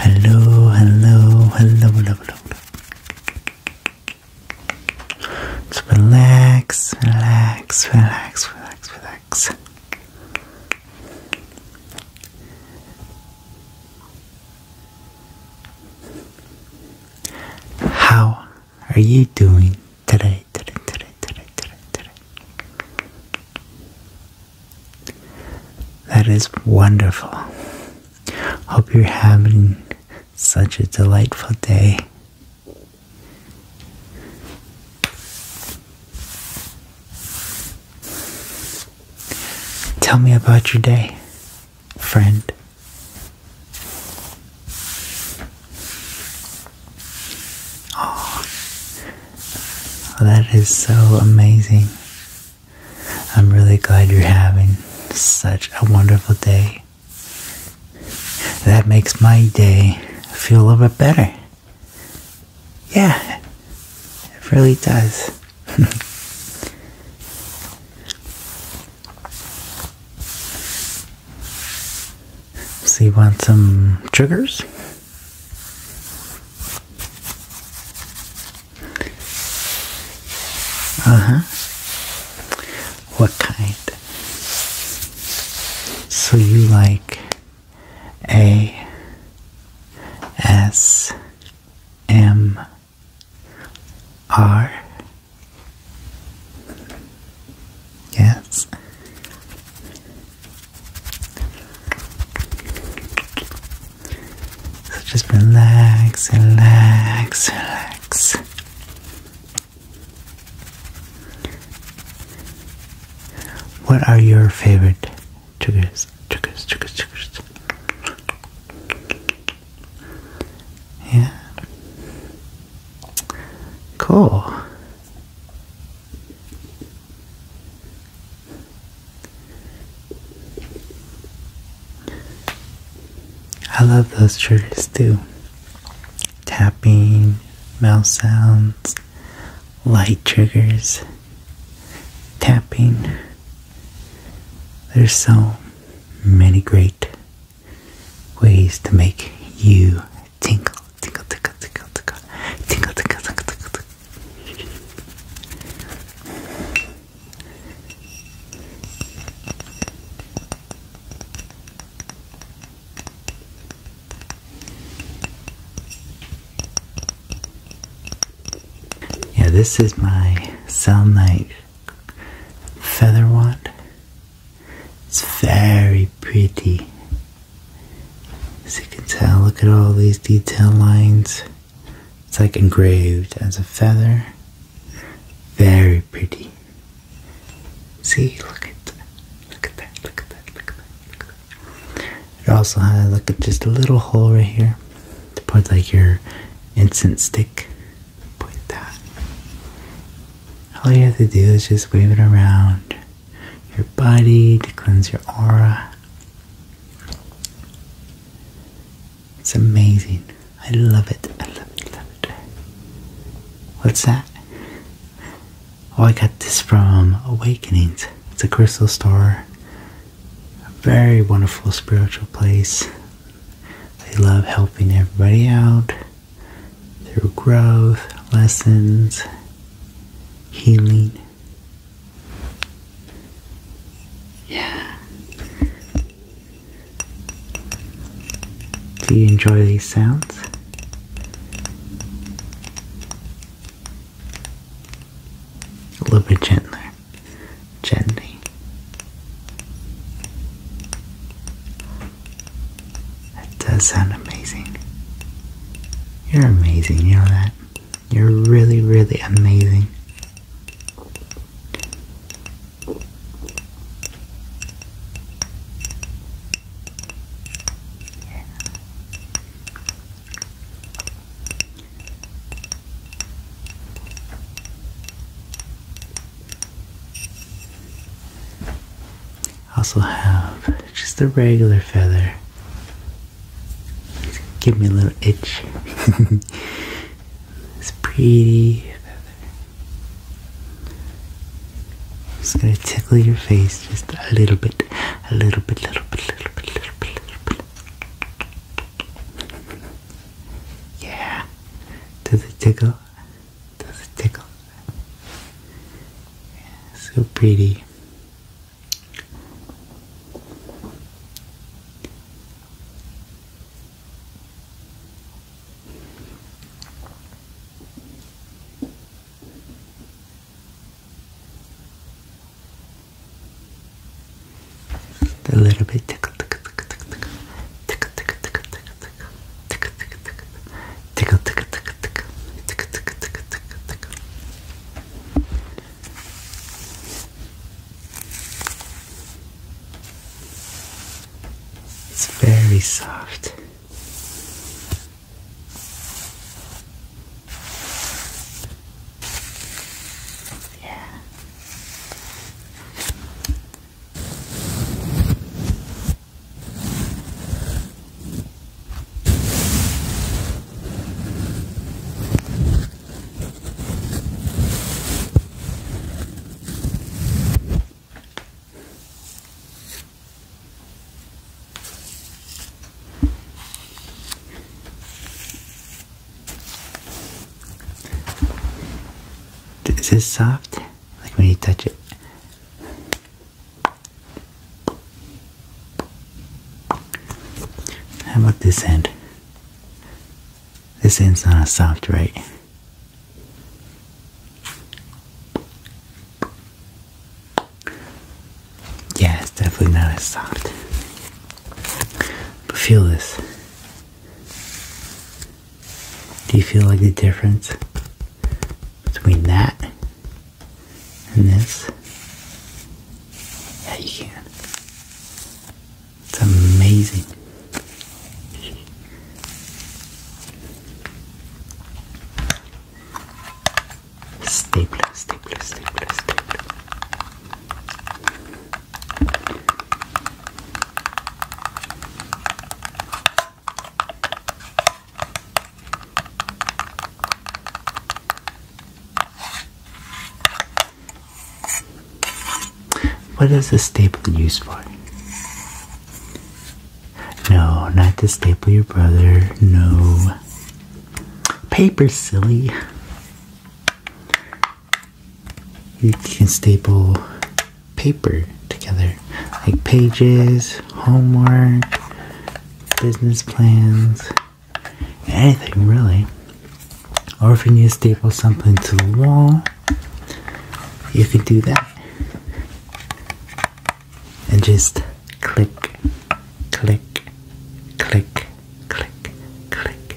Hello, hello, hello, hello, hello. Just relax, relax, relax, relax, relax. How are you doing today, today, today, today, today, today? That is wonderful. Hope you're having such a delightful day. Tell me about your day, friend. Oh, that is so amazing. I'm really glad you're having such a wonderful day. That makes my day feel a little bit better. Yeah, it really does. See, you want some sugars? Uh huh. What kind? So you like A S M R? Yes. So just relax, relax, relax. What are your favorite triggers? Triggers, triggers, triggers. Yeah. Cool. I love those triggers too. Tapping, mouth sounds, light triggers, tapping. There's so many great ways to make you Tingle, tingle, tingle, tingle, tingle, tingle, tingle, tingle, tingle, tingle. Yeah, this is my Cell Night Feather Wand. It's very pretty. As you can tell, look at all these detail lines. It's like engraved as a feather. Very pretty. See, look at that. Look at that. Look at that. Look at that. Look at that. It also has look at just a little hole right here to put like your incense stick. Put that. All you have to do is just wave it around your body, to cleanse your aura. It's amazing. I love it. I love it. What's that? Oh, I got this from Awakenings. It's a crystal store. A very wonderful spiritual place. They love helping everybody out through growth, lessons, healing. Yeah. Do you enjoy these sounds? A little bit gentler, gently. That does sound amazing. You're amazing, you know that? You're really, really amazing. Also have just a regular feather. Just give me a little itch. this pretty feather. Just gonna tickle your face just a little bit, a little bit, little bit, little bit, little bit, little bit. Yeah. To the tickle. Does it tickle? Yeah, so pretty. A little bit tickle, tickle, tickle, tickle, tickle, tickle, tickle, tickle, tickle tickle, tickle, tickle, tickle, tickle, tickle, tickle, tickle, tickle, tickle, It's very soft. Yeah. Is this soft? like when you touch it. How about this end? This end's not as soft, right? Yeah, it's definitely not as soft. But feel this. Do you feel like the difference between that and this? Yeah, you can. It's amazing. Stapler, stapler, stapler, stapler. What is a staple used for? No, not to staple your brother. No. Paper, silly you can staple paper together like pages, homework, business plans, anything really. Or if you need to staple something to the wall, you can do that. And just click, click, click, click, click,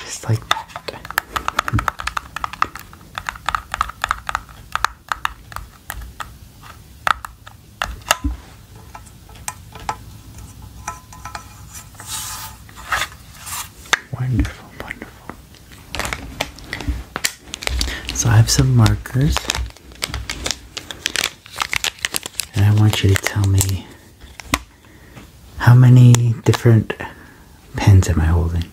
Just like that. Wonderful, wonderful. So I have some markers. And I want you to tell me how many different pens am I holding?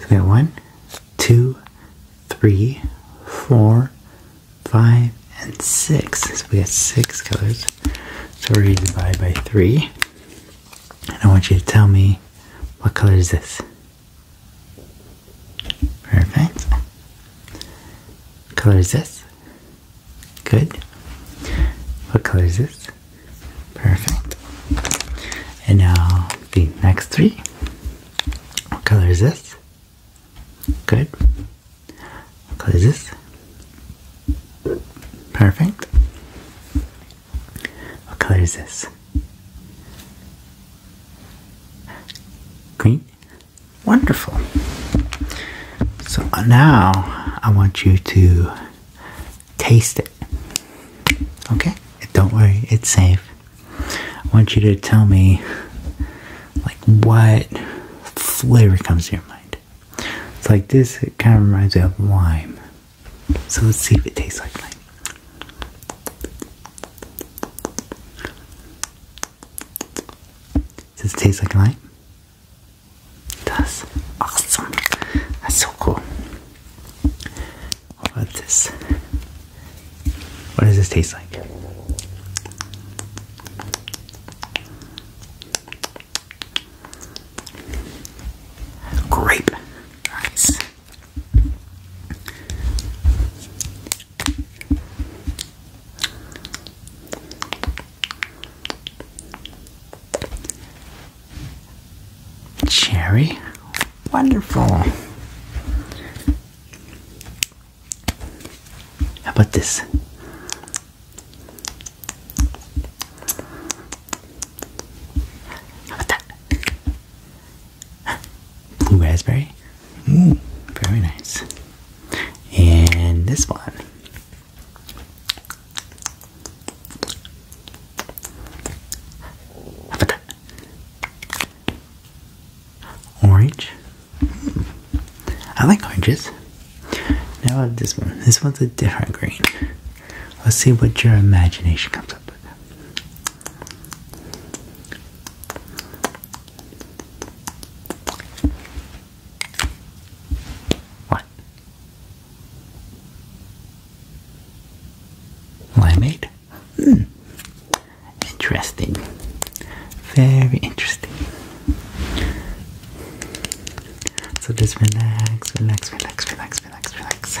So we have one, two, three, four, five, and six. So we got six colors. So we're going to divide by three. And I want you to tell me what color is this? Perfect. What color is this? Good. What color is this? Perfect. And now the next three. What color is this? Good. What color is this? Perfect. What color is this? Green. Wonderful. So now I want you to taste it. Okay? Don't worry, it's safe. I want you to tell me like what flavor comes to your mind. It's like this, it kind of reminds me of lime. So let's see if it tastes like lime. Does it taste like lime? That's awesome. That's so cool. What this? What does this taste like? Grape. Cherry. Wonderful. How about this? How about that? Blue raspberry. Mm, very nice. And this one. How Orange. I like oranges. Now this one. This one's a different green. Let's see what your imagination comes up with. What? Limeade? Hmm. Interesting. Very interesting. So just relax, relax, relax, relax, relax, relax.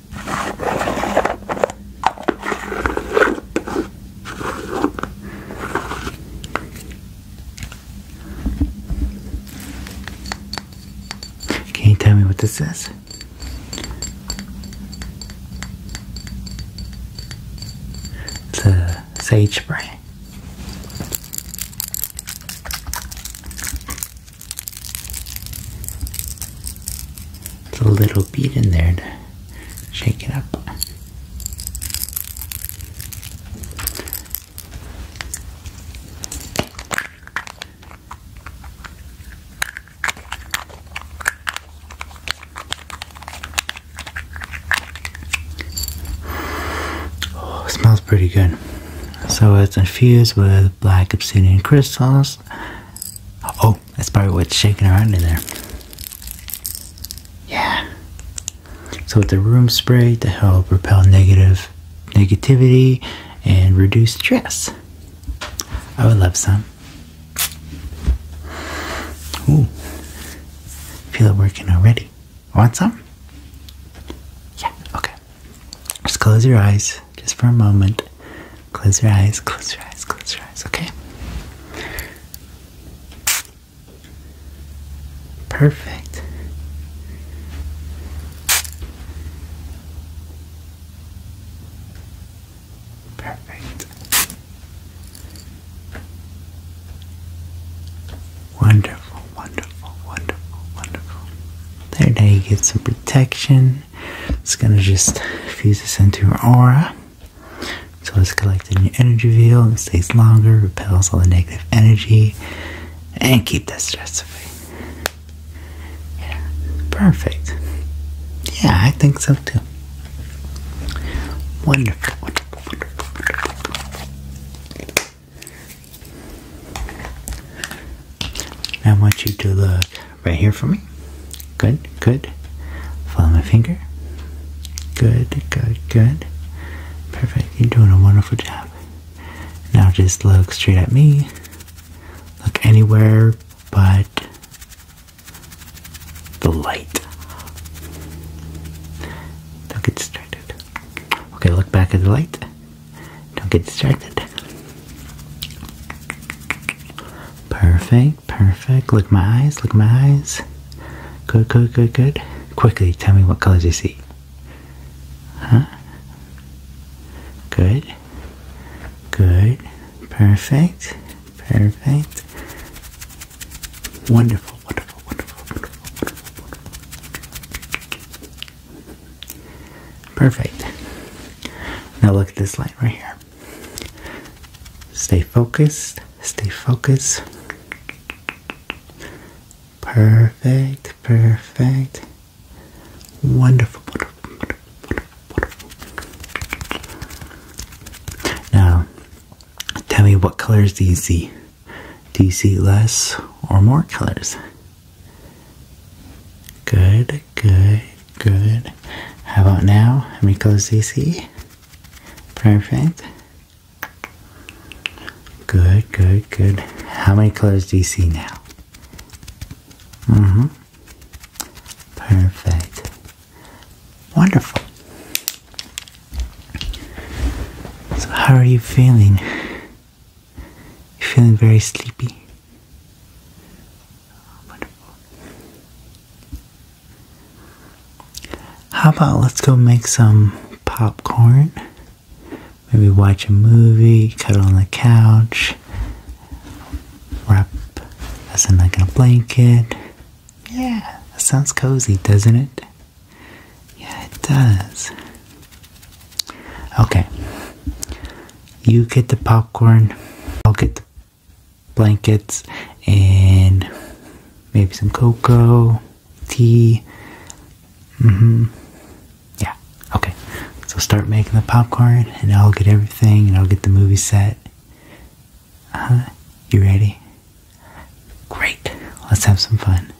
Can you tell me what this is? It's a sage spray. It's a little bead in there to shake it up. Oh, smells pretty good. So it's infused with black obsidian crystals Oh, that's probably what's shaking around in there. Yeah. So with the room spray to help repel negative negativity and reduce stress. I would love some. Ooh. Feel it working already. Want some? Yeah, okay. Just close your eyes just for a moment. Close your eyes, close your eyes, close your eyes, okay? Perfect. Perfect. Wonderful, wonderful, wonderful, wonderful. There, now you get some protection. It's gonna just fuse this into your aura. So it's collecting in your energy field It stays longer, repels all the negative energy, and keep that stress away. Yeah, perfect. Yeah, I think so too. wonderful. Now I want you to look right here for me. Good, good. Follow my finger. Good, good, good. Perfect. You're doing a wonderful job. Now just look straight at me. Look anywhere but the light. Don't get distracted. Okay, look back at the light. Don't get distracted. Perfect, perfect. Look my eyes, look my eyes. Good, good, good, good. Quickly tell me what colors you see. Huh? Good. Good. Perfect. Perfect. Wonderful, wonderful, wonderful, wonderful, wonderful. Perfect. Now look at this light right here. Stay focused. Stay focused. Perfect. Perfect. Wonderful. wonderful. Now, tell me what colors do you see? Do you see less or more colors? Good, good, good. How about now? Let me close these see? Perfect. Good, good, good. How many colors do you see now? Mm-hmm. Perfect. Wonderful. So how are you feeling? You're feeling very sleepy. How about let's go make some popcorn? Maybe watch a movie, cuddle on the couch, wrap us in like a blanket. Yeah, that sounds cozy, doesn't it? Yeah, it does. Okay. You get the popcorn, I'll get the blankets, and maybe some cocoa, tea. Mm hmm. Yeah, okay. So start making the popcorn, and I'll get everything, and I'll get the movie set. Uh huh. You ready? Great. Let's have some fun.